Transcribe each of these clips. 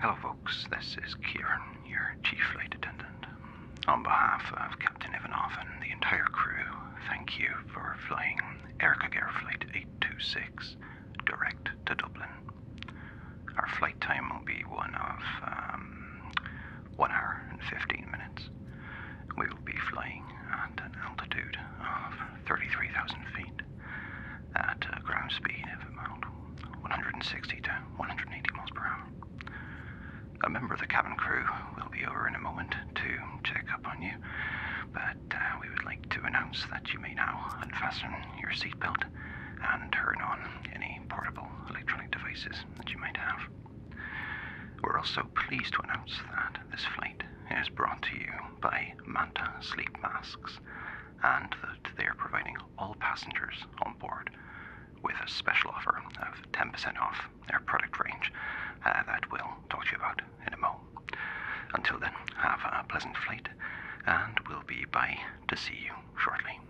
Hello, folks. This is Kieran, your Chief Flight Attendant. On behalf of Captain Ivanov and the entire crew, thank you for flying Air Flight 826 direct to Dublin. Our flight time will be one of um, one hour and 15 minutes. We will be flying at an altitude of 33,000 feet at a uh, ground speed of about 160 to 180 miles per hour. A member of the cabin crew will be over in a moment to check up on you, but uh, we would like to announce that you may now unfasten your seatbelt and turn on any portable electronic devices that you might have. We're also pleased to announce that this flight is brought to you by Manta Sleep Masks and that they are providing all passengers on board with a special offer of 10% off their product range uh, that we'll talk to you about in a moment. Until then, have a pleasant flight and we'll be by to see you shortly.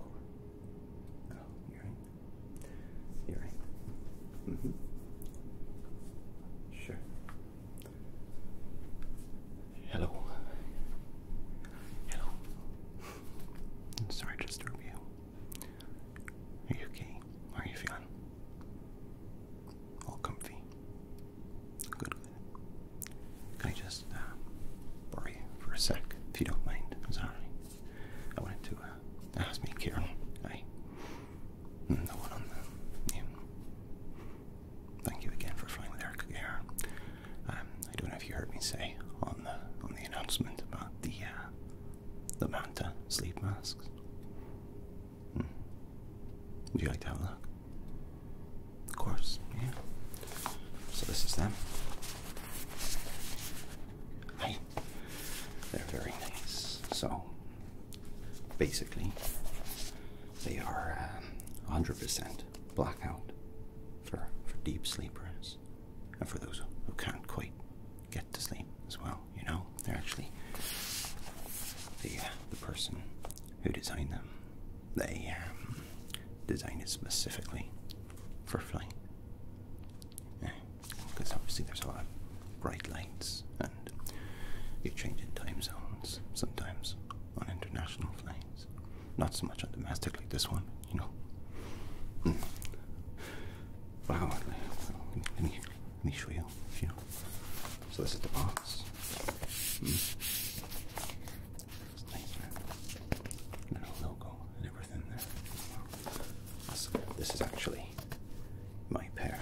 Over. you're right. Mm-hmm. You're right. Sure. Hello. Hello. I'm to disturb are you okay? How are you feeling? All comfy? Good, good. Can I just uh, you for a sec, if you don't mind? sorry. I wanted to uh, ask me, Carol. I, mm, the one on the, Thank you again for flying with Erica Gare. Um, I don't know if you heard me say on the on the announcement about the uh, the Manta sleep masks. Hmm. Would you like to have a look? Of course, yeah. So this is them. Hi. They're very nice. So basically, they are um, 100% blackout for, for deep sleepers and for those who can't quite get to sleep as well. You know, they're actually the, uh, the person who designed them. They um, designed it specifically for flight. Because obviously there's a lot of bright lights and you're changing time zones sometimes on international flights. Not so much on domestic like this one, you know. Hmm. Wow, let me, let me show you. So this is the box. Hmm. Little logo and everything there. This, this is actually my pair.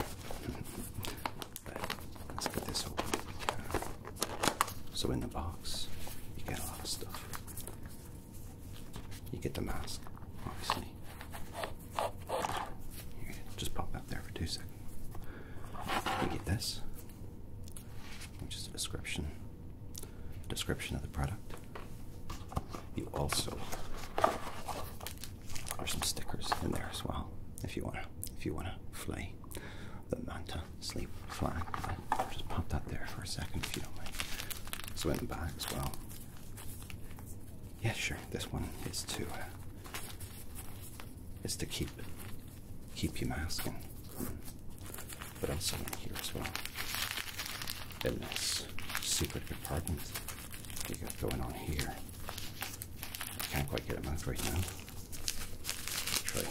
Let's get this open. So in the box, you get a lot of stuff. You get the mask, obviously. just pop that there for two seconds. You get this, which is a description, description of the product. You also there's some stickers in there as well, if you wanna, if you wanna flay the manta sleep just pop that there for a second if you don't mind. Sweating by as well. Yeah, sure. This one is to uh, is to keep keep you masking. But also in here as well. In this secret compartment. You got going on here. I can't quite get it out right now. try.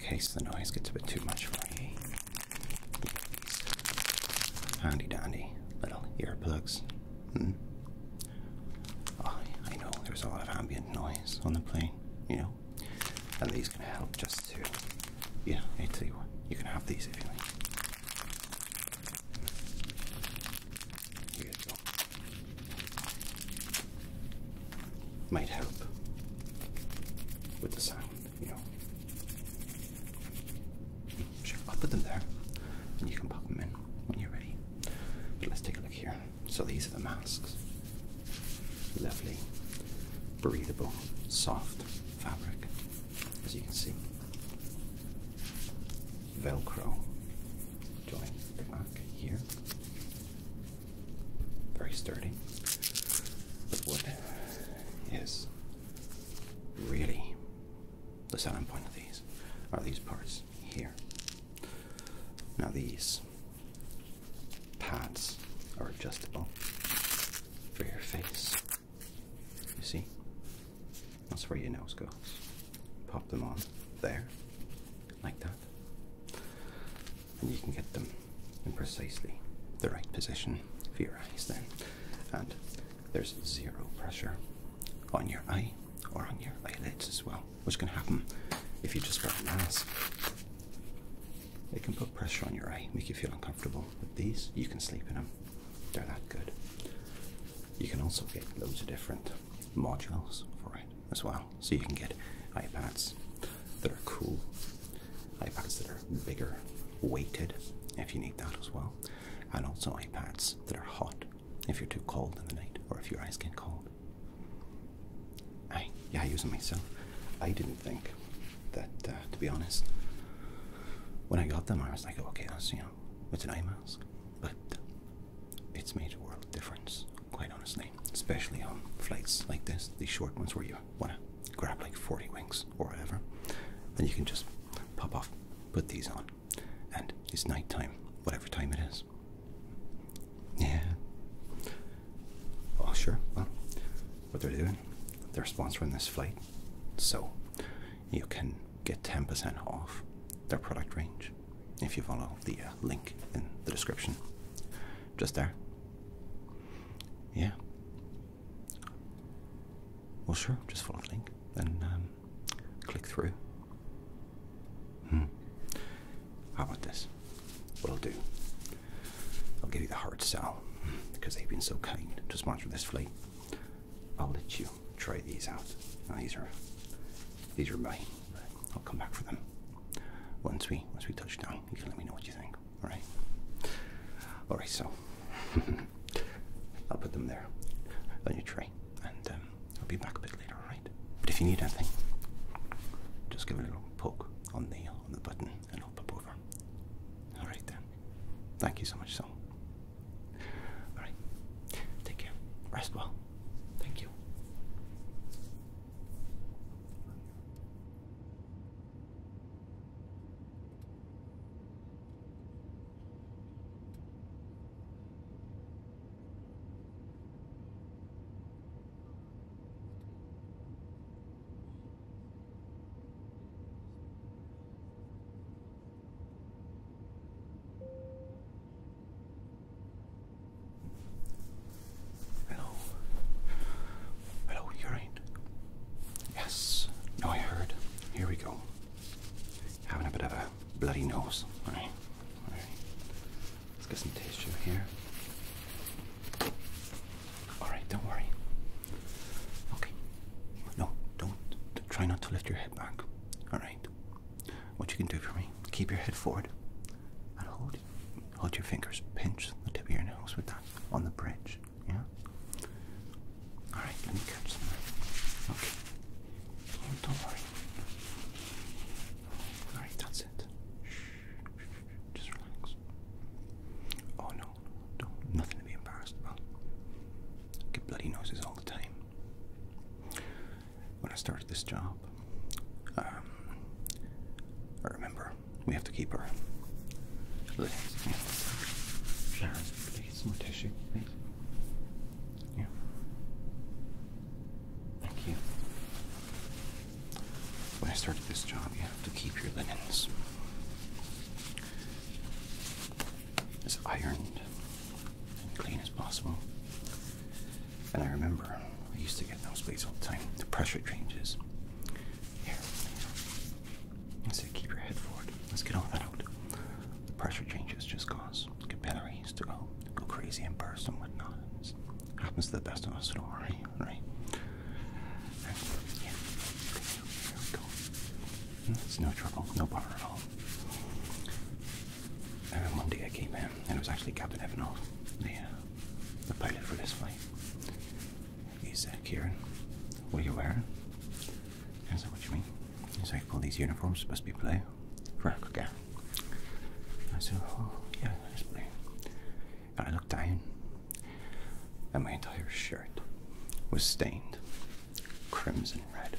In case the noise gets a bit too much for you, handy dandy little earplugs. Hmm? I know there's a lot of ambient noise on the plane, you know, and these can help just yeah, I tell you what, you can have these if you like. Might help with the sound, you know. Sure, I'll put them there, and you can pop them in when you're ready. But let's take a look here. So these are the masks. Lovely, breathable, soft fabric as you can see. Velcro joint back here. Very sturdy. But what is really the selling point of these are these parts here. Now these pads are adjustable for your face. You see? That's where your nose goes. Pop them on there, like that. And you can get them in precisely the right position for your eyes then. And there's zero pressure on your eye or on your eyelids as well, which can happen if you just wear a mask. They can put pressure on your eye, make you feel uncomfortable. With these, you can sleep in them. They're that good. You can also get loads of different modules for it as well. So you can get iPads that are cool, iPads that are bigger, weighted, if you need that as well, and also iPads that are hot if you're too cold in the night or if your eyes get cold. I yeah, I use them myself. I didn't think that, uh, to be honest, when I got them, I was like, okay, that's, you know, it's an eye mask, but it's made a world of difference, quite honestly, especially on flights like this, these short ones where you want to grab like 40 wings or whatever, then you can just pop off, put these on, and it's night time, whatever time it is. Yeah. Oh, sure. Well, what they're doing, they're sponsoring this flight, so you can get 10% off their product range if you follow the uh, link in the description. Just there. Yeah. Well, sure, just follow the link and um, click through. Hmm. How about this? What will do I'll give you the hard sell because they've been so kind to sponsor this flight. I'll let you try these out. these are these are mine. I'll come back for them once we once we touch down. You can let me know what you think. All right. All right. So I'll put them there on your tray, and um, I'll be back a bit later. All right. But if you need anything, just give it a little poke on the on the button, and I'll pop over. All right then. Thank you so much, so. All right. Take care. Rest well. Thank you. Hello. Hello, urine. Yes. No, I heard. Here we go. Having a bit of a bloody nose. Alright. Let's get some taste in here. All right, don't worry. Okay. No, don't. Try not to lift your head back. All right. What you can do for me? Keep your head forward and hold. Hold your fingers. Pinch the tip of your nose with that on the bridge. Yeah. All right. Let me catch some. Okay. don't worry. All right. That's it. Just relax. Oh no don't, nothing to be embarrassed about. I get bloody noses all the time. When I started this job, um, I remember we have to keep her. lids. Yeah. Sharon, please, more tissue, Yeah. Thank you. When I started this job, you to keep your linens as ironed and clean as possible. And I remember I used to get those blades all the time. The pressure changes. Here, I say keep your head forward. Let's get all that out. The pressure changes just cause capillaries to go, go crazy and burst and whatnot. happens to the best of us, don't worry, right? It's no trouble, no bother at all. And one day I came in, and it was actually Captain Evanoff, the, uh, the pilot for this flight. He said, uh, Kieran, what are you wearing? I said, what you mean? He's like, all these uniforms are supposed to be blue Right? Africa. I said, oh, yeah, it's blue and I looked down, and my entire shirt was stained crimson red.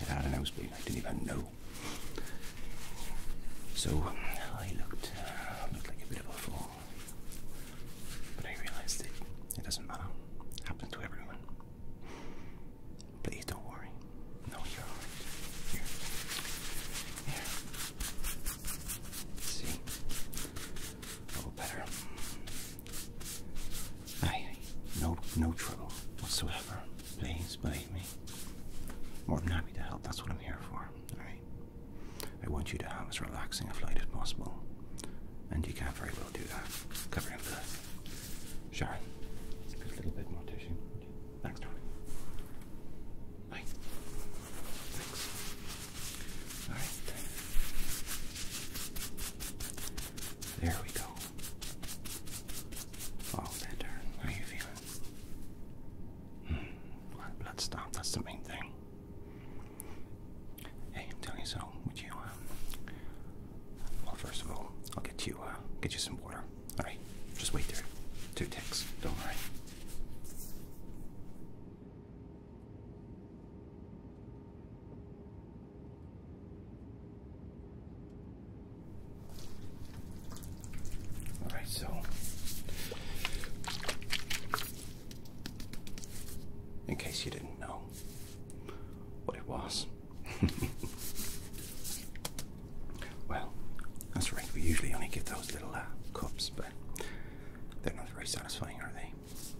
I had a nosebleed, I didn't even know. So I looked, uh, looked like a bit of a fool. But I realized it, it doesn't matter. It happens to everyone. Please don't worry. No, you Here. Here. See? Oh, better. Aye, No, no trouble whatsoever. Please believe me. More than happy to help. That's what I'm here for. All right. I want you to have as relaxing a flight as possible, and you can't very well do that. Covering him with it. Sharon, a little bit more tissue. Thanks, darling. Bye. Thanks. All right. There we go. Oh, better. How are you feeling? Mm, blood stop. That's the main thing. Hey, I'm telling you so. What you? want? Um, well, first of all, I'll get you. Uh, get you some water. All right. Just wait there. Two ticks. Don't worry. All right, so in case you didn't know what it was. well, that's right, we usually only get those little uh, cups, but they're not very satisfying, are they?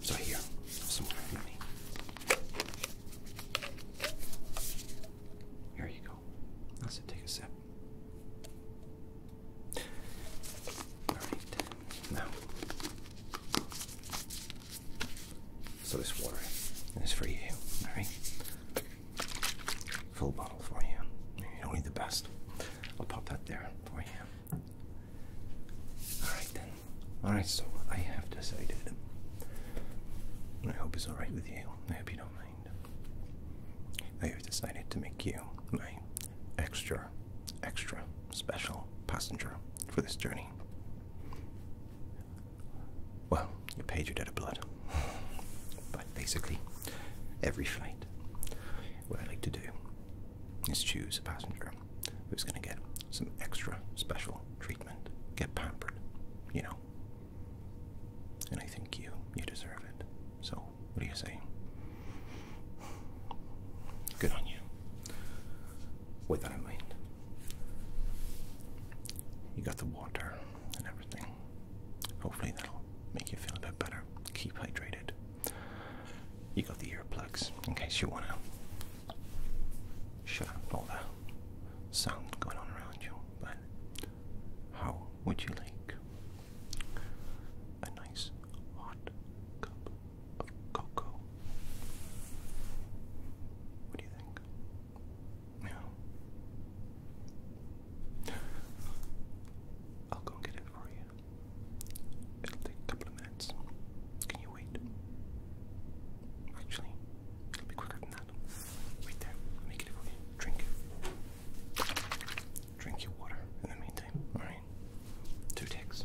So here, have some more honey. Here you go. That's take a sip. Alright, now. So this water is for you, alright? Full bottle for you. You need the best. I'll pop that there for you. Alright then. Alright, so I have decided. I hope it's alright with you. I hope you don't mind. I have decided to make you my extra, extra special passenger for this journey. Well, you paid your debt of blood. But basically, every flight, what I like to do is choose a passenger who's going to get some extra special treatment, get pampered, you know. And I think you you deserve it. So what do you say? Good on you. With that in mind, you got the water and everything. Hopefully that'll make you feel a bit better. Keep hydrated. You got the earplugs in case you wanna shut up all the sound going on around you. how would you like a nice hot cup of cocoa? What do you think? Yeah. I'll go get it for you. It'll take a couple of minutes. Can you wait? Actually, it'll be quicker than that. Wait there. Make it okay. Drink. Drink your water in the meantime. Alright. Two ticks.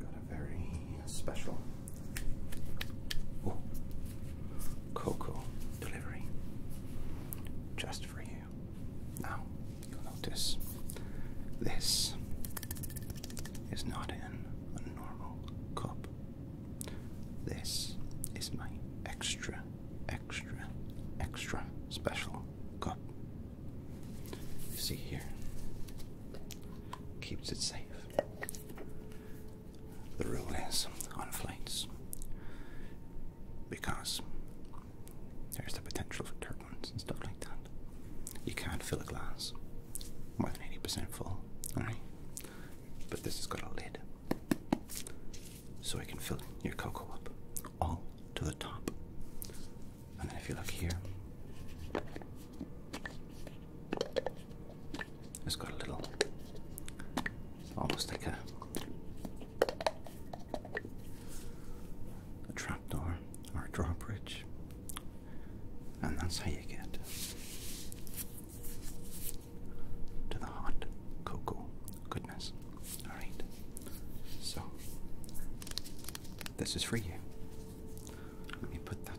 Got a very special oh, cocoa delivery just for you. Now, you'll notice this is not in a normal cup. This is my extra, extra, extra special cup. see here, keeps it safe. The rule is on flights because there's the potential for turbulence and stuff like that. You can't fill a glass more than 80% full, alright? But this has got a lid. So I can fill your cocoa up all to the top. And then if you look here, it's got a little, almost like a, a trapdoor or a drawbridge. And that's how you get to the hot cocoa goodness. Alright, so this is for you. Let me put that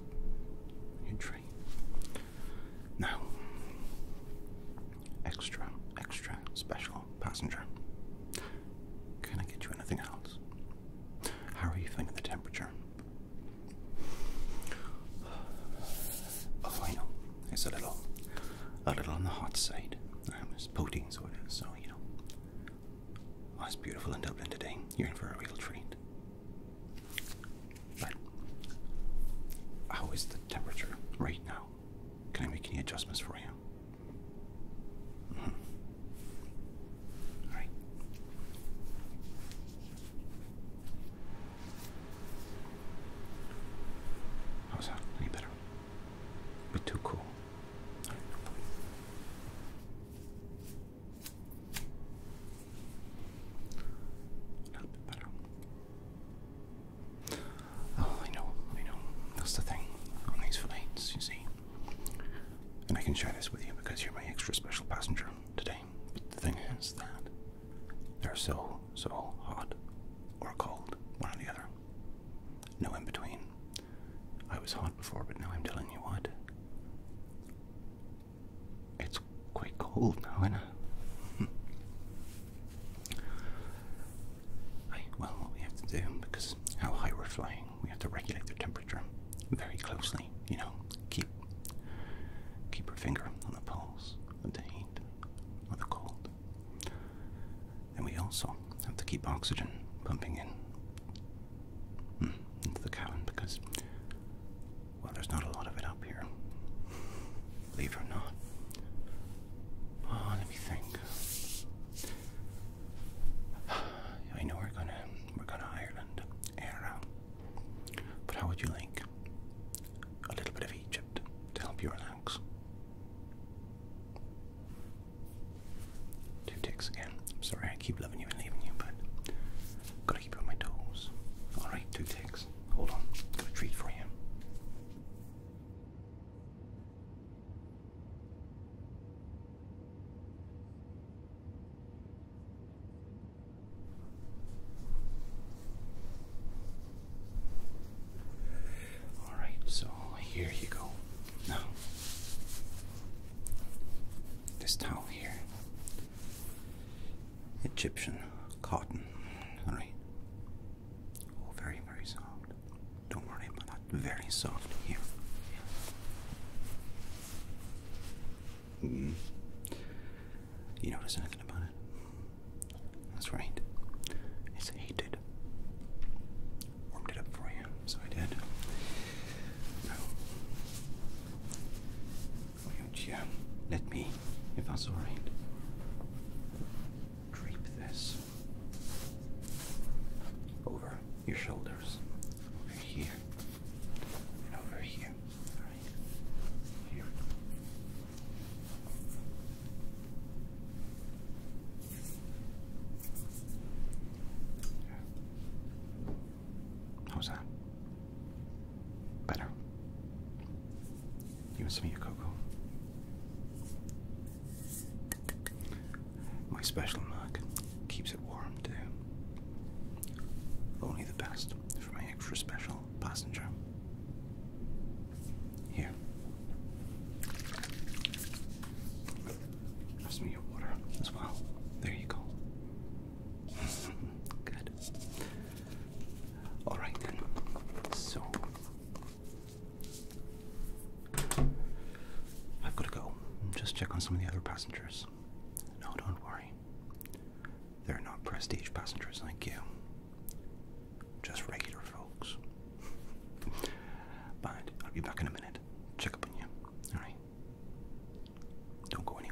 on tray. Now, extra, extra special passenger. Can I get you anything else? How are you feeling the temperature? Oh, I know. It's a little, a little on the hot side. Um, it's protein soda, so you know, Oh, it's beautiful in Dublin today. You're in for a real treat. But how is the temperature right now? Can I make any adjustments for you? Mm How's that? Any better? bit too cool. Oh, I know, I know. That's the thing on these flights, you see. And I can share this with you because you're my extra special passenger today. But the thing is that they're so, so hot or cold, one or the other. No in between. I was hot before, but now I'm telling you what. It's quite cold now, isn't it? well, we have to do, because how high we're flying, we have to regulate the temperature very closely, you know, keep keep our finger on the pulse of the heat, of the cold. And we also have to keep oxygen pumping in Hmm, into the cabin because, well, there's not a lot of it up here. Believe it or not. Oh, let me think. I know we're gonna we're gonna Ireland, era. But how would you like a little bit of Egypt to help you relax? Two ticks again. I'm sorry, I keep loving you and leaving you, but gotta keep you on my toes. Alright, two ticks. Hold on, got a treat for you. Alright, so here you go. Now, this towel here. Egyptian cotton. Alright. Oh, very, very soft. Don't worry about that. Very soft here. Mm-hmm. You notice anything about it? That's right. It's heated. Warmed it up for you so I did. Oh. Now, let me, if that's alright, drape this over your shoulders, over here, and over here. Alright, here. How's that? Better. You want some of your cocoa? My special mug keeps it warm too. Only the best for my extra special passenger. Here. Have some your water as well. There you go. Good. Alright then. So. I've got to go. Just check on some of the other passengers. No, don't worry. They're not prestige passengers like you. Just regular folks. but I'll be back in a minute. Check up on you. Alright? Don't go anywhere.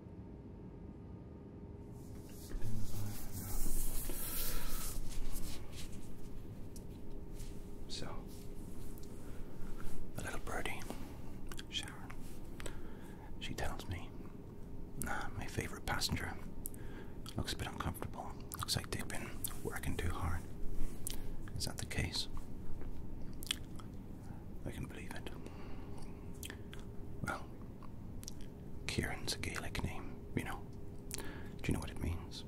So, the little birdie, Sharon, she tells me, my favorite passenger looks a bit uncomfortable. Looks like they've been working too hard. Is that the case? I can believe it. Well, Kieran's a Gaelic name, you know. Do you know what it means?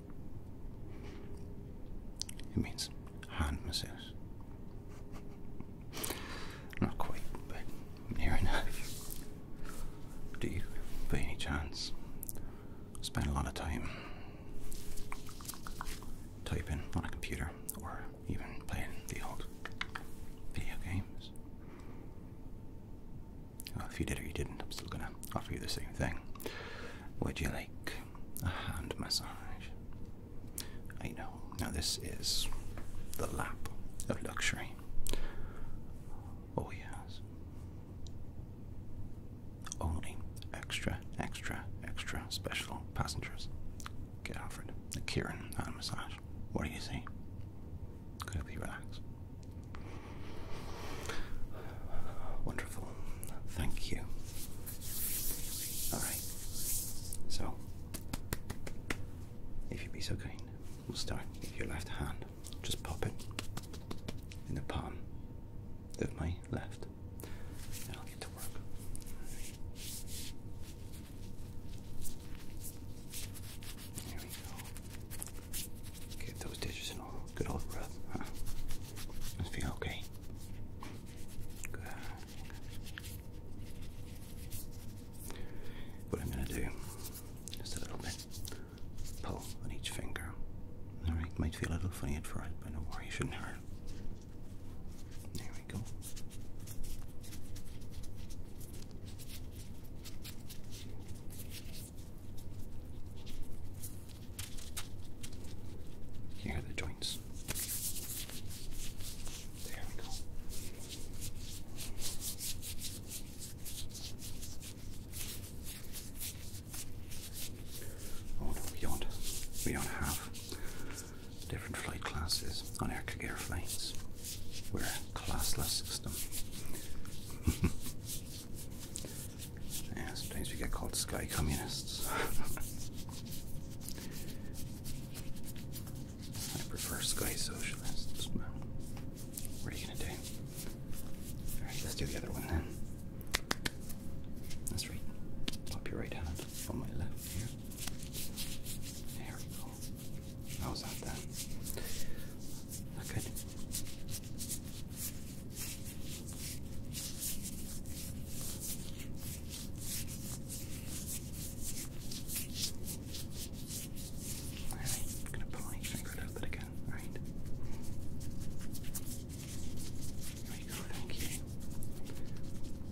It means hand masseuse. Not quite, but near enough. Do you, by any chance, spend a lot of time typing on a computer or even playing the old video games? if you did or you didn't, I'm still gonna offer you the same thing. Would you like a hand massage? I know. Now this is the lap of luxury. Oh yes. Only extra, extra, extra special passengers get offered a Kieran hand massage. What do you see? be relaxed. Wonderful. Thank you. Alright. So, if you'd be so kind, we'll start with your left hand. Just pop it in the palm of my left, and I'll get to work. There we go. Get those dishes in a good old rub. Huh? feel okay. What I'm gonna do, just a little bit pull on each finger. Alright, might feel a little funny at first, but no worry, it shouldn't hurt. There we go. Here are the joints. There we go. Oh we don't. We don't have different flight classes on Air Air flights. We're a classless system. yeah, sometimes we get called sky communists. I prefer sky socialists. What are you gonna do? Alright, let's do the other one then. That's right. Pop your right hand on my left here. There we go level. How's that then? good. I'm gonna put my finger out of it again, right? There you go, thank you.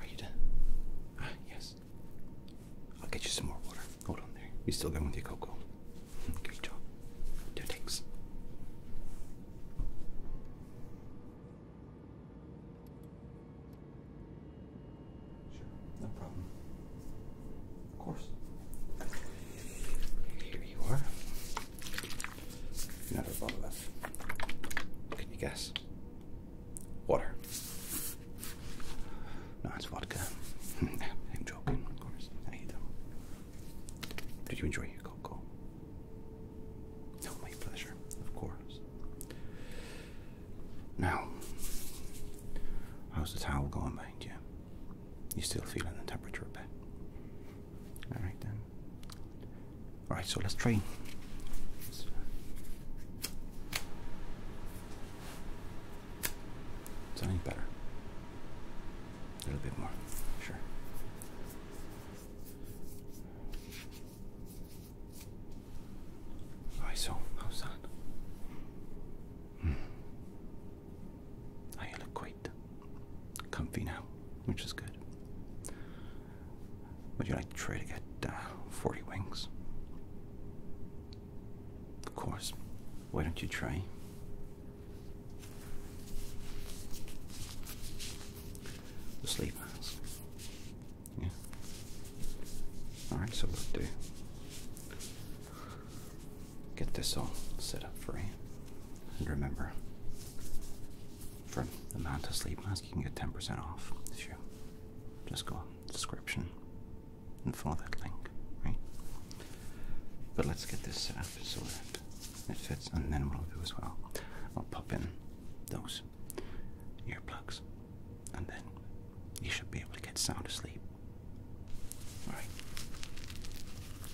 Are you done? yes. I'll get you some more water. Hold on there. You still going with your cocoa? Great job. Two takes. Sure, no problem. Of course. Here you are. Another bottle of. Can you guess? Water. No, it's vodka. I'm joking, of course. I you do Did you enjoy your cocoa? No, my pleasure, of course. Now, how's the towel going behind you? You still feeling the temperature a bit? Alright then. All right, so let's train. let is that better? A little bit more, sure. All right, so how's that? Hmm. I look quite comfy now, which is good. Would you like to try to get uh, 40 wings? Of course. Why don't you try? The sleep mask. Yeah. Alright, so we'll do. Get this all set up for you. And remember, from the amount of sleep mask, you can get 10% off if you just go on description and follow that link, right? But let's get this set up so that it fits, and then we will do as well, I'll pop in those earplugs, and then you should be able to get sound asleep. Alright,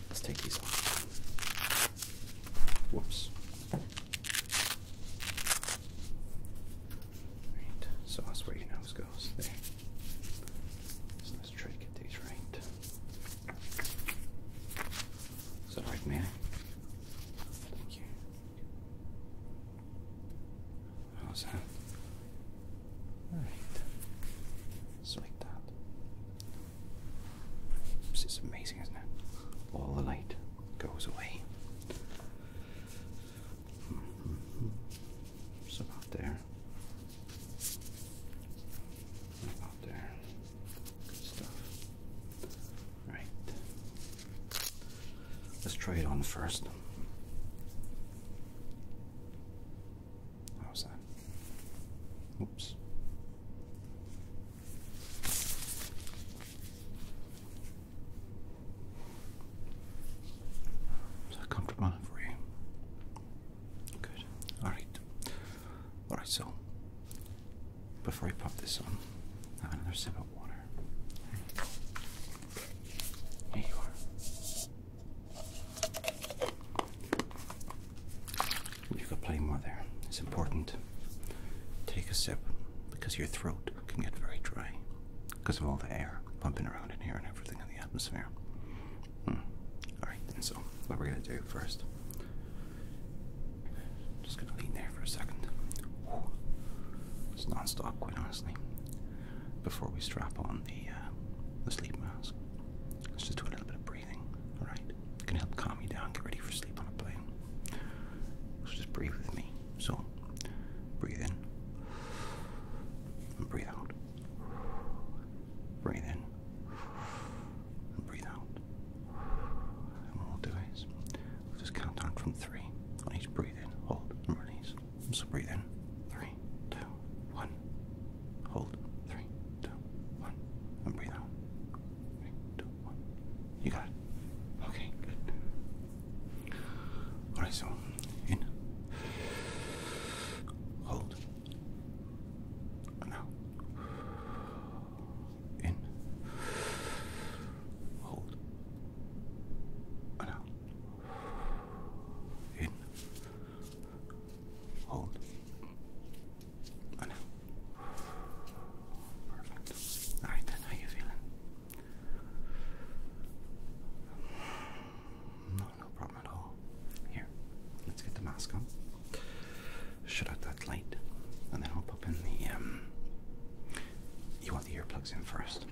let's take these off. Whoops. Right, so that's where your nose goes. There. let's try to get these right. Is that right, man? Thank you. How's that? Alright. Just that. This is amazing, isn't it? All the light goes away. Mm about there. About there. Good stuff. Right. Let's try it on first. How's that? Oops. Is comfortable for you? Good. Alright. Alright, so before I pop this on, have another sip of water. Here you are. You've got plenty more there. It's important. Take a sip because your throat can get very dry because of all the air pumping around in here and everything in the atmosphere. Hmm. Alright, so what we're going to do first, just going to lean there for a second. It's non stop, quite honestly. Before we strap on the, uh, the sleep mask, let's just do a little bit of breathing breathing, alright? It can help calm you down, get ready for sleep on a plane. So just breathe with me. So, breathe in. And breathe out. Breathe in. And breathe out. And what we'll do is, we'll just count down from three on each breathe in, hold, and release. So breathe in. Three, two, one. Hold. Three, two, one. And breathe out. Three, two, you got it. Okay, good. All right, so in, hold, and out, in, hold, and out, in, hold. I know. Perfect. Alright then, how you feeling? No, no problem at all. Here, let's get the mask on. Shut out that light, and then I'll pop in the, um... You want the earplugs in first?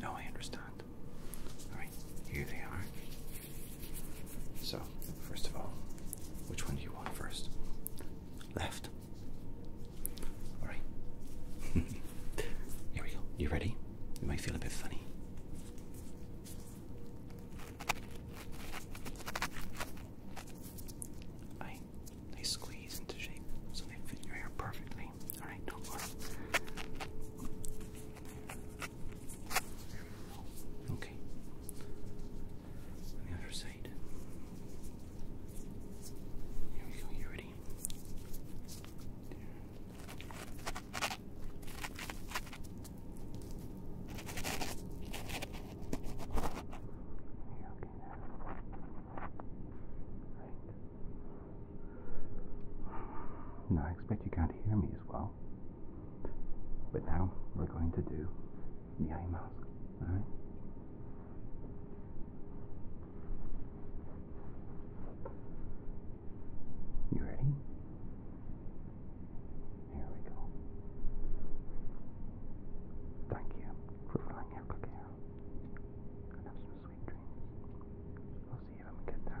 No, I understand. Alright, here they are. So, first of all, which one do you want first? Left. All right. Here we go. You ready? You might feel a bit funny. they squeeze into shape so they fit your hair perfectly. All right, don't Okay. the other side. Here we go, you ready? okay, right. Now I expect you can't hear me as well. But now we're going to do the eye mask. All right. You ready? Here we go. Thank you for flying Everclear. And have some sweet dreams. I'll see you when we get there.